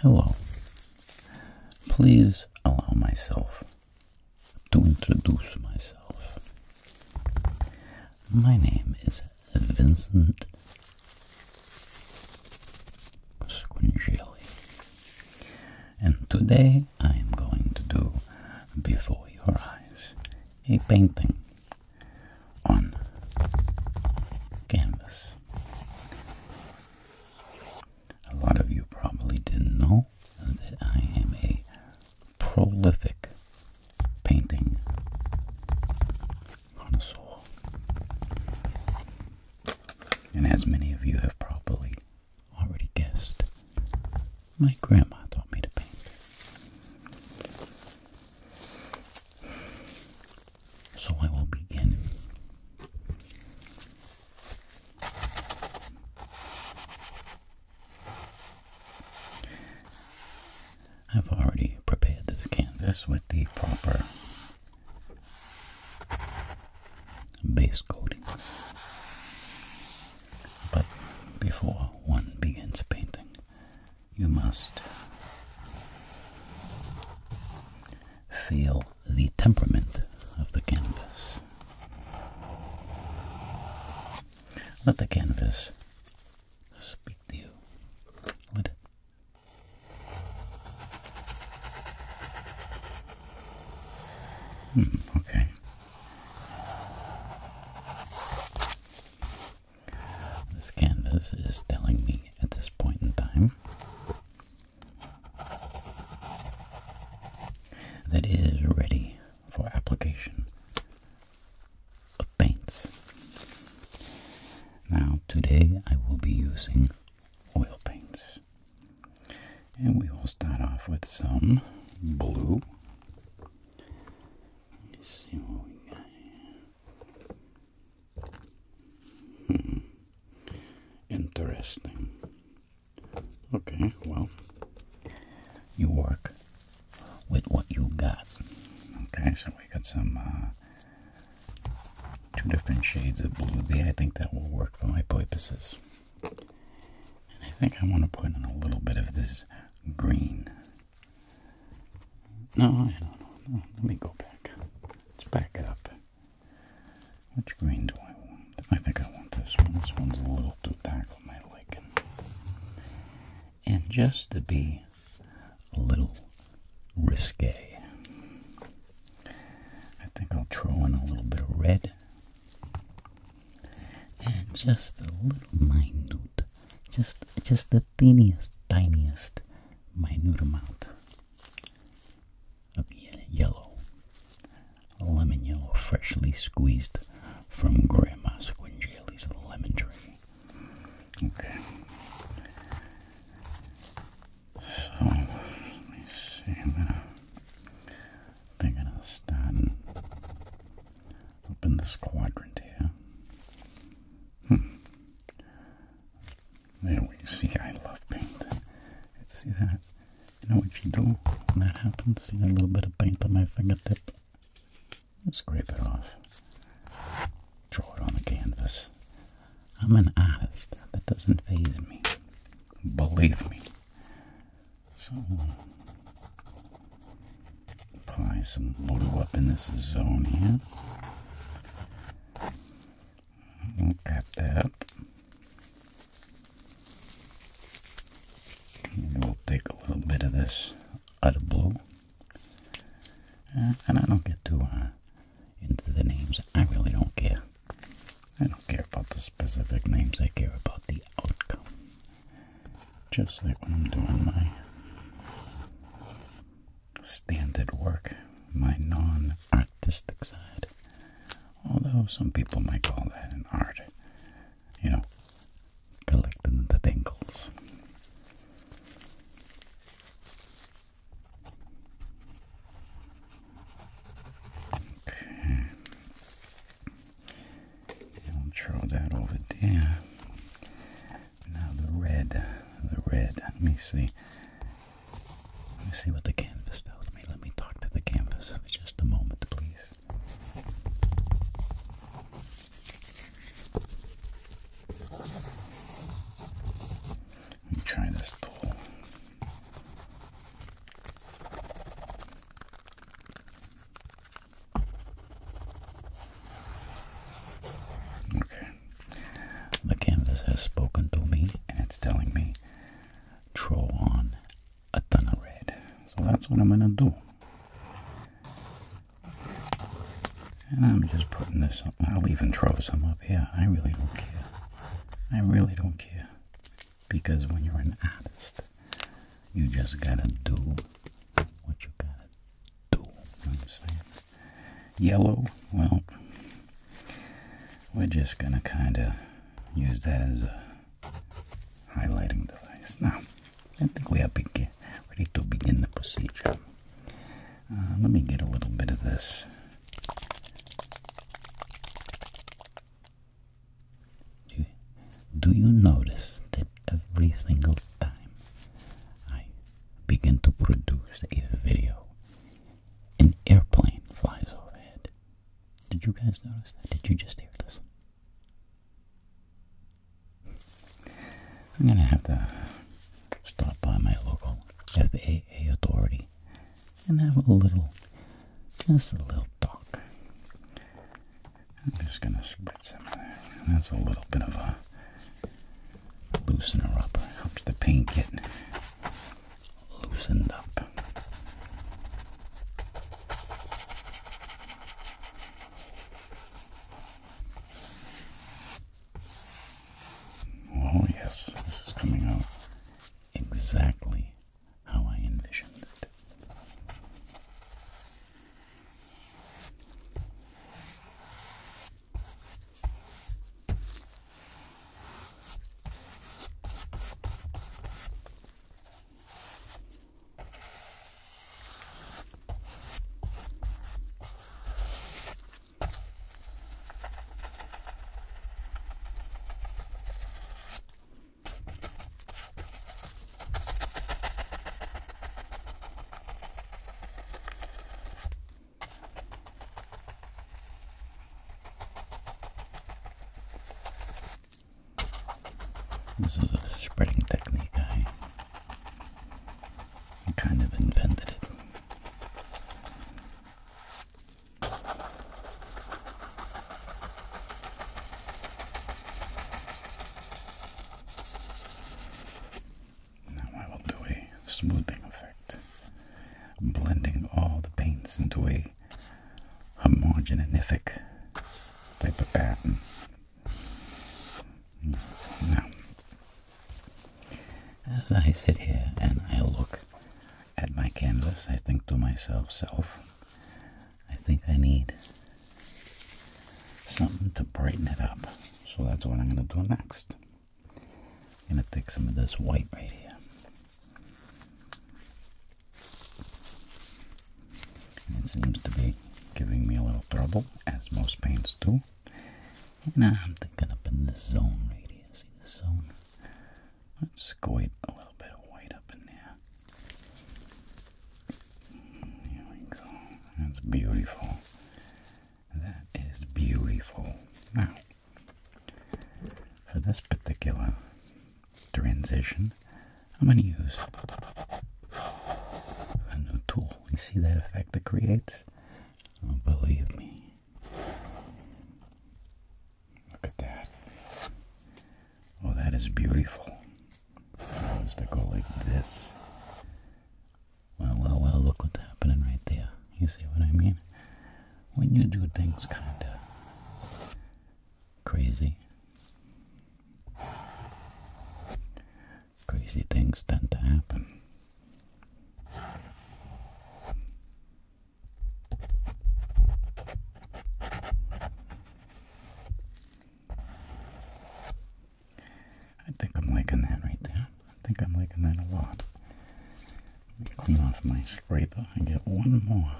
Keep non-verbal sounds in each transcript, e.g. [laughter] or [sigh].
Hello. Please allow myself to introduce myself. My name is Vincent Squingeli, and today I am going to do before your eyes a painting on canvas. A lot of you probably didn't know that I am a prolific painting connoisseur. And as many of you have probably already guessed. My grandma taught me to paint. So I will begin. I've already prepared this canvas with the proper base coating. But before one begins painting, you must feel the temperament of the canvas. Let the canvas speak to you. Let hmm, okay. This canvas is telling me at this point in time that it is ready for application of paints. Now, today I will be using oil paints. And we will start off with some blue. Hmm. Interesting. Okay, well, you work with what you got. Okay, so we got some uh, two different shades of blue there. I think that will work for my purposes. And I think I want to put in a little bit of this green. No, I don't know. let me go back. Let's back it up. Which green do I want? I think I want this one. This one's a little too dark on my liking. And just to be a little risque, I think I'll throw in a little bit of red and just a little minute, just just the tiniest, tiniest, minute amount of yellow, lemon yellow, freshly squeezed from Grandma Squingelli's lemon tree. Okay. So let me see. They're gonna start and open this quadrant here. Hmm. There we see. I love paint. See that? know what you do when that happens? See a little bit of paint on my fingertip. Scrape it off. Draw it on the canvas. I'm an artist. That doesn't faze me. Believe me. So apply some blue up in this zone here. wrap that And we'll take a little bit of this other blue. and I don't get too uh, into the names. I really don't care. I don't care about the specific names. I care about the outcome just like when I'm doing my standard work, my non artistic side. Although some people might call that an art, you know, collecting the dingles i we'll throw that over there. Now the red, the red. Let me see. Let me see what the canvas tells me. Let me talk to the canvas for just a moment, please. Let me try this tool. Okay. The canvas has spoken to me and it's telling me throw on a ton of red. So that's what I'm gonna do. And I'm just putting this up. I'll even throw some up here. I really don't care. I really don't care. Because when you're an artist, you just gotta do what you gotta do. You understand? Yellow, well, we're just gonna kinda use that as a highlighting device. Now, I think we are ready to begin the procedure. Uh, let me get a little bit of this do, you notice that every single time I begin to produce a video, an airplane flies overhead? Did you guys notice that? Did you just hear this? I'm going to have to stop by my local FAA authority and have a little, just a little talk. I'm just going to some of that. That's a little bit of a loosener up. Helps the paint get loosened up. Oh, yes, this is coming out exactly how I envisioned it. This is a spreading technique. I kind of invented it. Now I will do a smoothing effect, blending all the paints into a homogenific type of pattern. Now, as I sit here and I look at my canvas, I think to myself, self, I think I need something to brighten it up. So that's what I'm going to do next. I'm going to take some of this white right here. it seems to be giving me a little trouble, as most paints do. And I'm thinking up in this zone right here. See this zone? Let's squirt a little bit of white up in there. Here we go. That's beautiful. That is beautiful. Now, for this particular transition, I'm going to use a new tool. You see that effect it creates? Oh, believe me. Look at that. Oh, that is beautiful. If I to go like this. Well, well, well, look what's happening right there. You see what I mean? When you do things kind of crazy, crazy things tend to happen. I think I'm liking that right there. I think I'm liking that a lot. Let me clean off my scraper and get one more.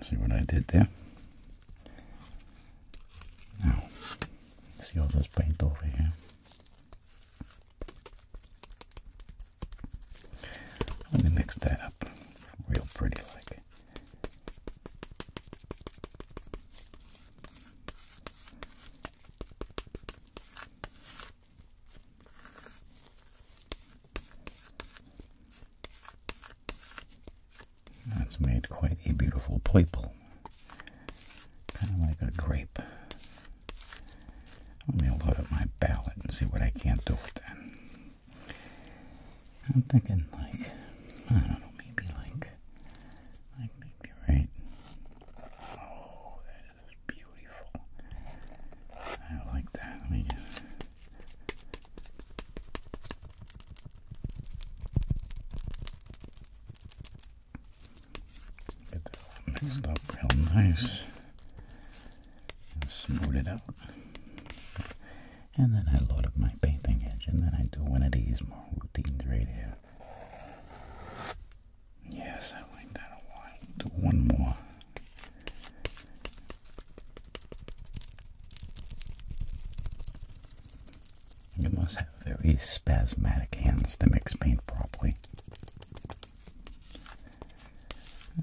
See what I did there? Now, see all this paint over here. Let me mix that up real pretty like. That's made quite a beautiful purple, kind of like a grape let me load up my ballot and see what I can't do with that. I'm thinking like, I don't know, maybe like, like maybe right. Oh, that is beautiful. I like that. Let me get that mixed up real nice and smoot it out. And then I load up my painting edge, and then I do one of these more routines right here. Yes, I like that a lot. Do one more. You must have very spasmodic hands to mix paint properly.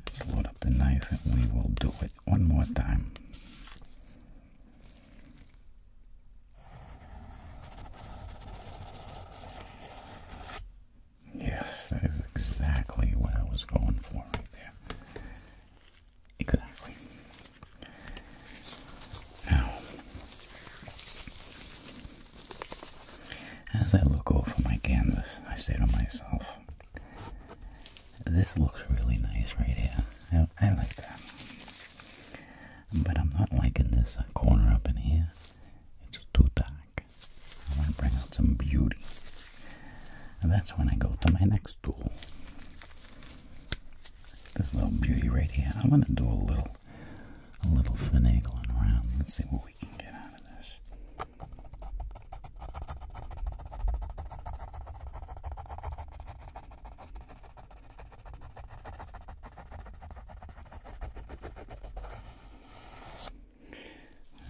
Let's load up the knife and we will do it one more time. Yes, that is exactly what I was going for right there. Exactly. Now, as I look over my canvas, I say to myself, this looks really nice right here. I, like that. But I'm not liking this corner up in here. It's too dark. I want to bring out some beauty. And that's when I go to my next tool. This little beauty right here. I'm gonna do a little a little finagling around. Let's see what we can get out of this.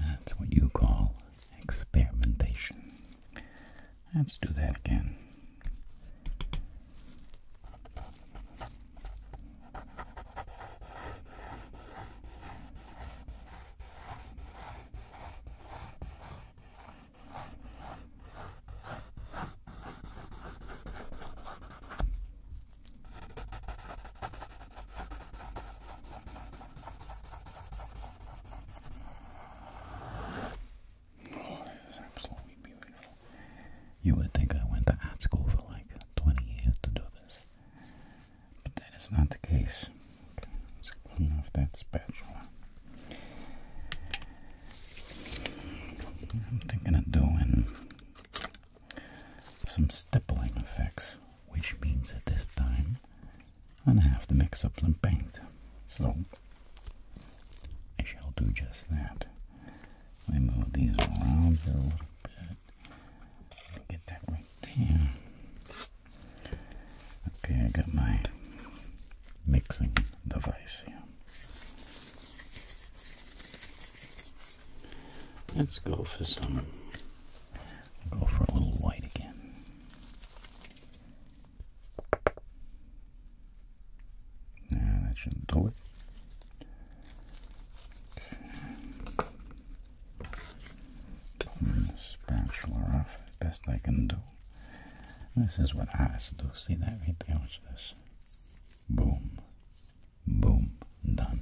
That's what you call experimentation. Let's do that again. Oh, it is absolutely beautiful. You would think I went to art school for like 20 years to do this. But that is not the case. let's clean off that spatula. I'm thinking of doing some stippling effects, which means at this time I'm gonna have to mix up some paint. So I shall do just that. Let move these around a little bit. Get that right there. Okay, I got my mixing device here. Let's go for some. Go for a little white again. Nah, that should do it. Pulling the spatula off best I can do. This is what I do. See that right there? Watch this. Boom. Boom. Done.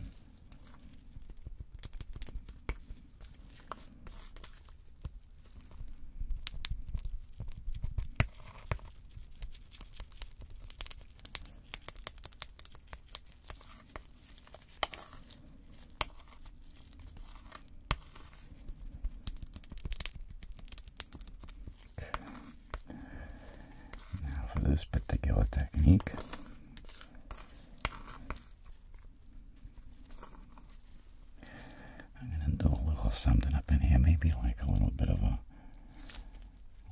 Now, for this particular technique, I'm going to do a little something up in here, maybe like a little bit of a,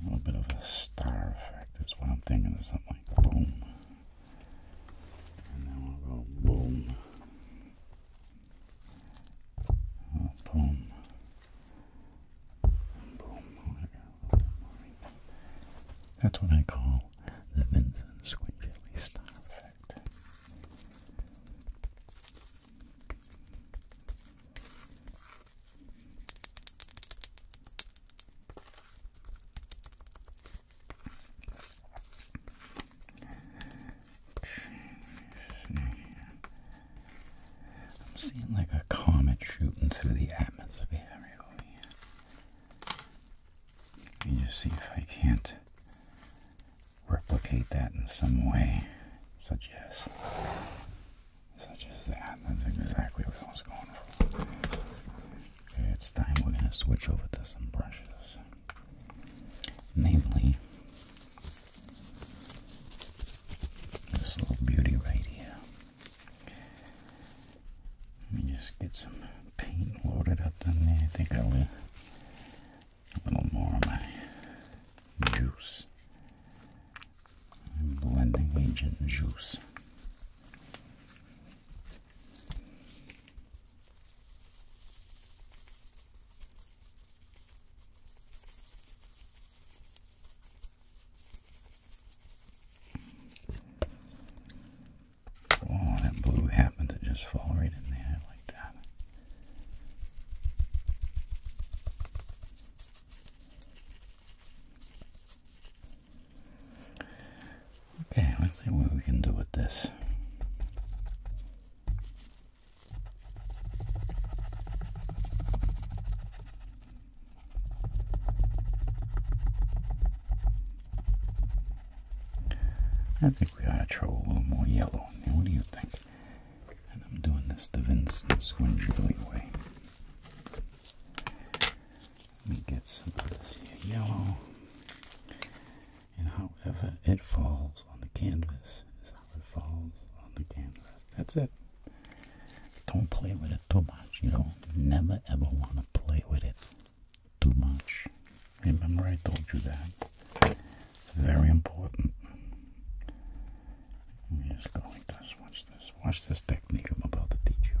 a little bit of a star effect is what I'm thinking Or something like boom and then we'll go boom, uh, boom, boom. That's what I call the Vincent Squinchley style effect. I'm seeing like a comet shooting through the atmosphere. Let me just see if I can't replicate that in some way, such as, such as that. That's exactly what I was going for it's time we're going to switch over to some brushes. Namely, this little beauty right here. Let me just get some paint loaded up in there. I think I'll a little more of my juice. I'm blending agent juice. Oh, that blue happened to just fall right in there like that. Okay, let's see what we can do with this. I think we ought to throw a little more yellow in there. What do you think? And I'm doing this the Vincent way. Let me get some of this yellow. And however it falls on the canvas is how it falls on the canvas. That's it. Don't play with it too much. You know, never ever want to play with it too much. Remember I told you that. very important. Let me just go like this. Watch this. Watch this technique I'm about to teach you.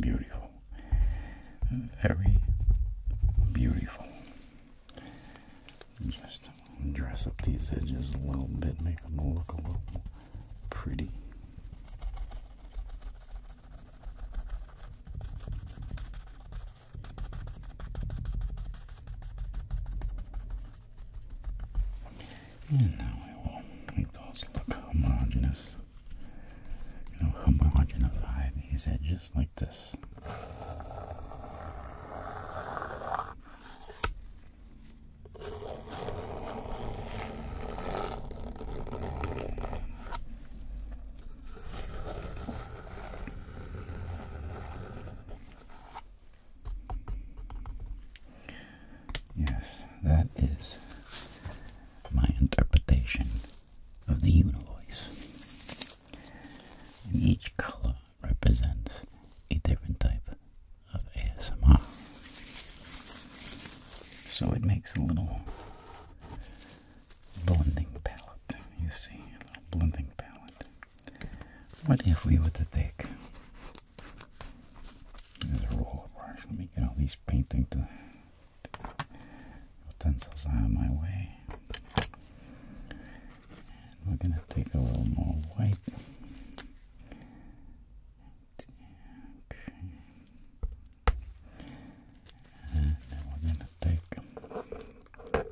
Beautiful. Very beautiful. Just dress up these edges a little bit, make them look a little pretty. And now I will make those look homogeneous. You know, homogenify these edges like this. Yes, that is my interpretation of the univoice. And each color represents a different type of ASMR. So it makes a little blending palette. You see, a little blending palette. What if we were to take there's a roll brush. Let me get all these painting to, to utensils out of my way. And we're going to take a little more white. And then we're going to take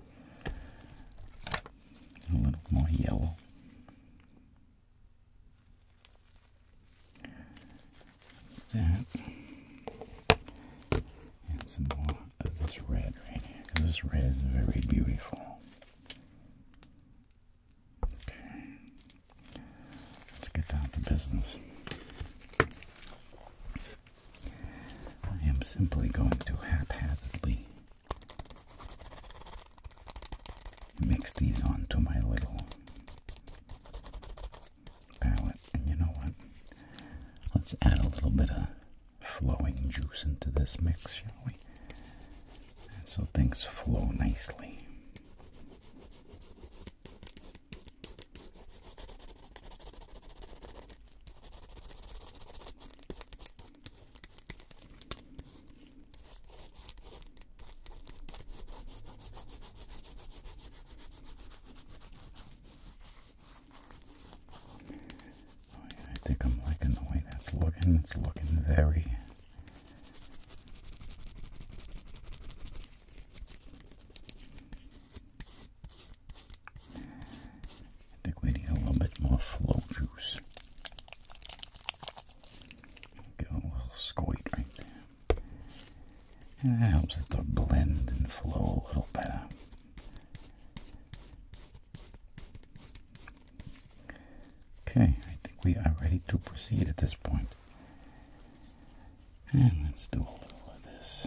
a little more yellow that and some more of this red right here this red is very beautiful okay let's get down to business I am simply going to haphazardly mix these onto my little palette. And you know what? Let's add a little bit of flowing juice into this mix, shall we? so things flow nicely. I think I'm liking the way that's looking. It's looking very I think we need a little bit more flow juice. Get a little squid right there. And it helps it to blend and flow a little better. Okay, I think we are ready to proceed at this point. And let's do a little of this.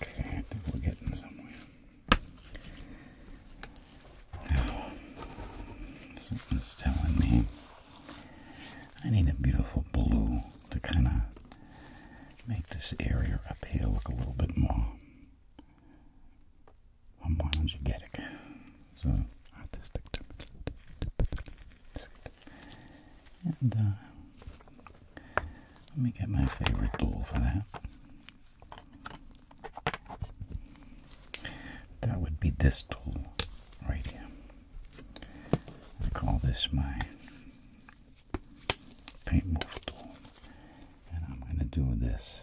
Okay, I think we're getting somewhere. Now, telling me I need a beautiful blue to kind of make this area up here look a little bit more homogenetic. So artistic. And uh, let me get my favorite tool for that. That would be distal right here. I call this my paint move tool, and I'm going to do this.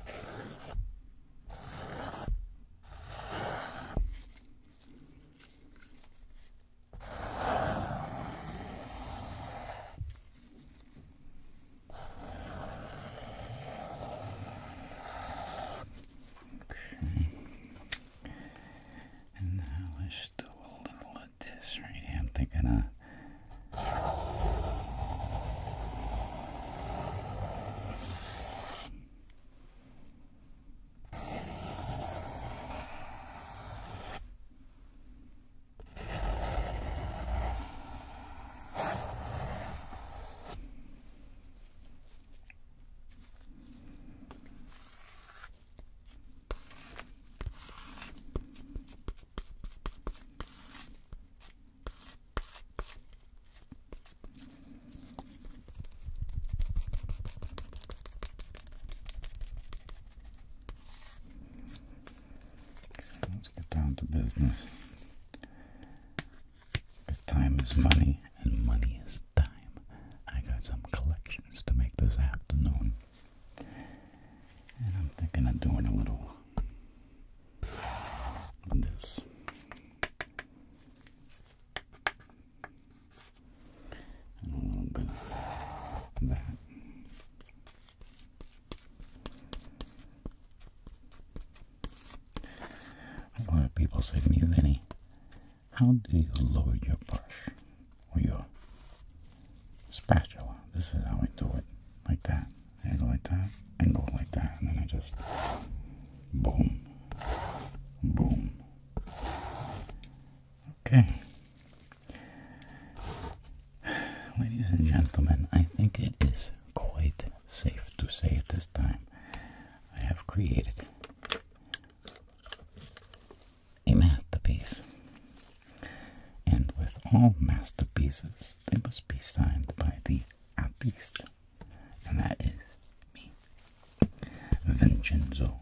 Okay. And now I stole a little put this right here. I'm thinking, uh, Let's get down to business. Because time is money and money is time. I got some collections to make this afternoon. And I'm thinking of doing a little this. a little bit of that. A lot of people say to me, Vinny, how do you lower your brush or your spatula. This is how I do it. Like that. I like that and like that. And then I just boom. Boom. Okay. [sighs] Ladies and gentlemen, I think it is quite safe to say at this time I have created a masterpiece. And with all masterpieces, they must be signed by the artist, and that is me, Vincenzo.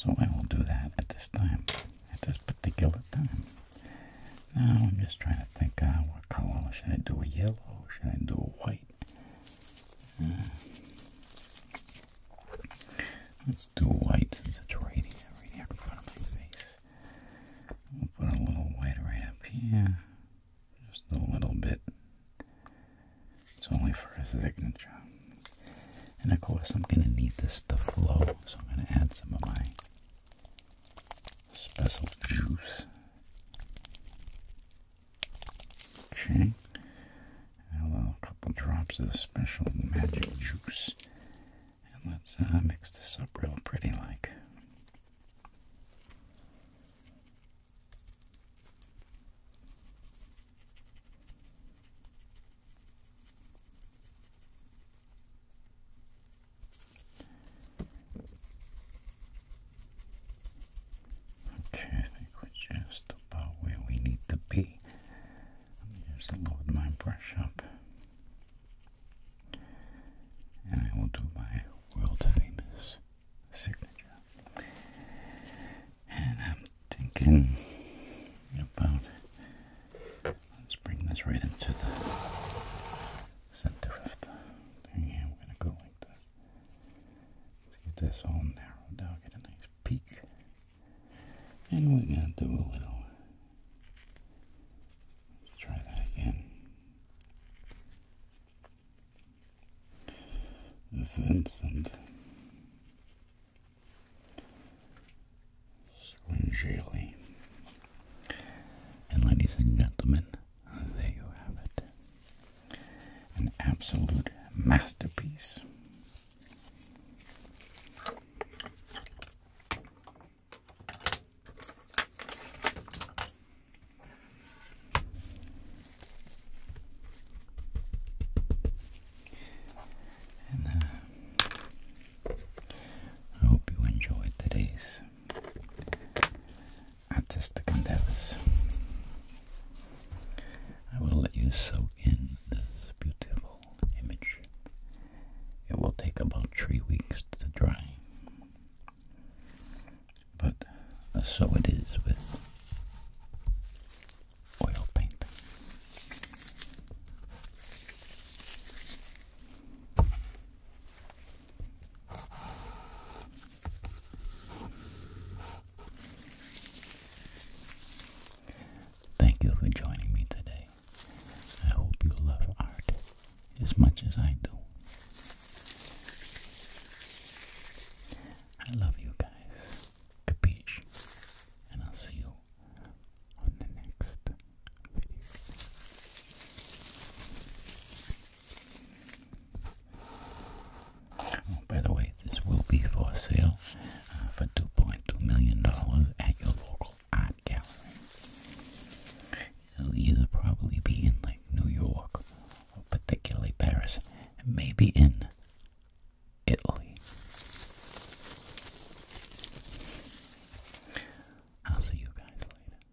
So I will do that at this time, at this particular time. Now I'm just trying to think, uh, what color? Should I do a yellow? Should I do a white? Uh, Let's do whites and saturating it in front of my face. We'll put a little white right up here. Just a little bit. It's only for a signature. And of course I'm going to need this to flow, so I'm going to add some of my special juice. Okay allow a couple drops of special magic juice. And let's uh, mix this up real pretty like. Okay, we're just about where we need to be. I'm just load my brush up. And I will do my world famous signature. And I'm thinking about let's bring this right into the center of the thing We're gonna go like this. Let's get this all narrowed down, get a nice peak and we're going to do a little. Let's try that again. Vincent Swingeli. And ladies and gentlemen, there you have it. An absolute masterpiece uh, I hope you enjoyed today's artistic endeavors. I will let you soak in this beautiful image. It will take about three weeks to dry. But uh, so it is with oil paint. Thank you for joining me today. I hope you love art as much as I do. I love you guys. Capiche. And I'll see you on the next video. Oh, by the way, this will be for sale uh, for $2.2 million at your local art gallery. It'll either probably be in like New York or particularly Paris, maybe in Italy. I'll see you guys later.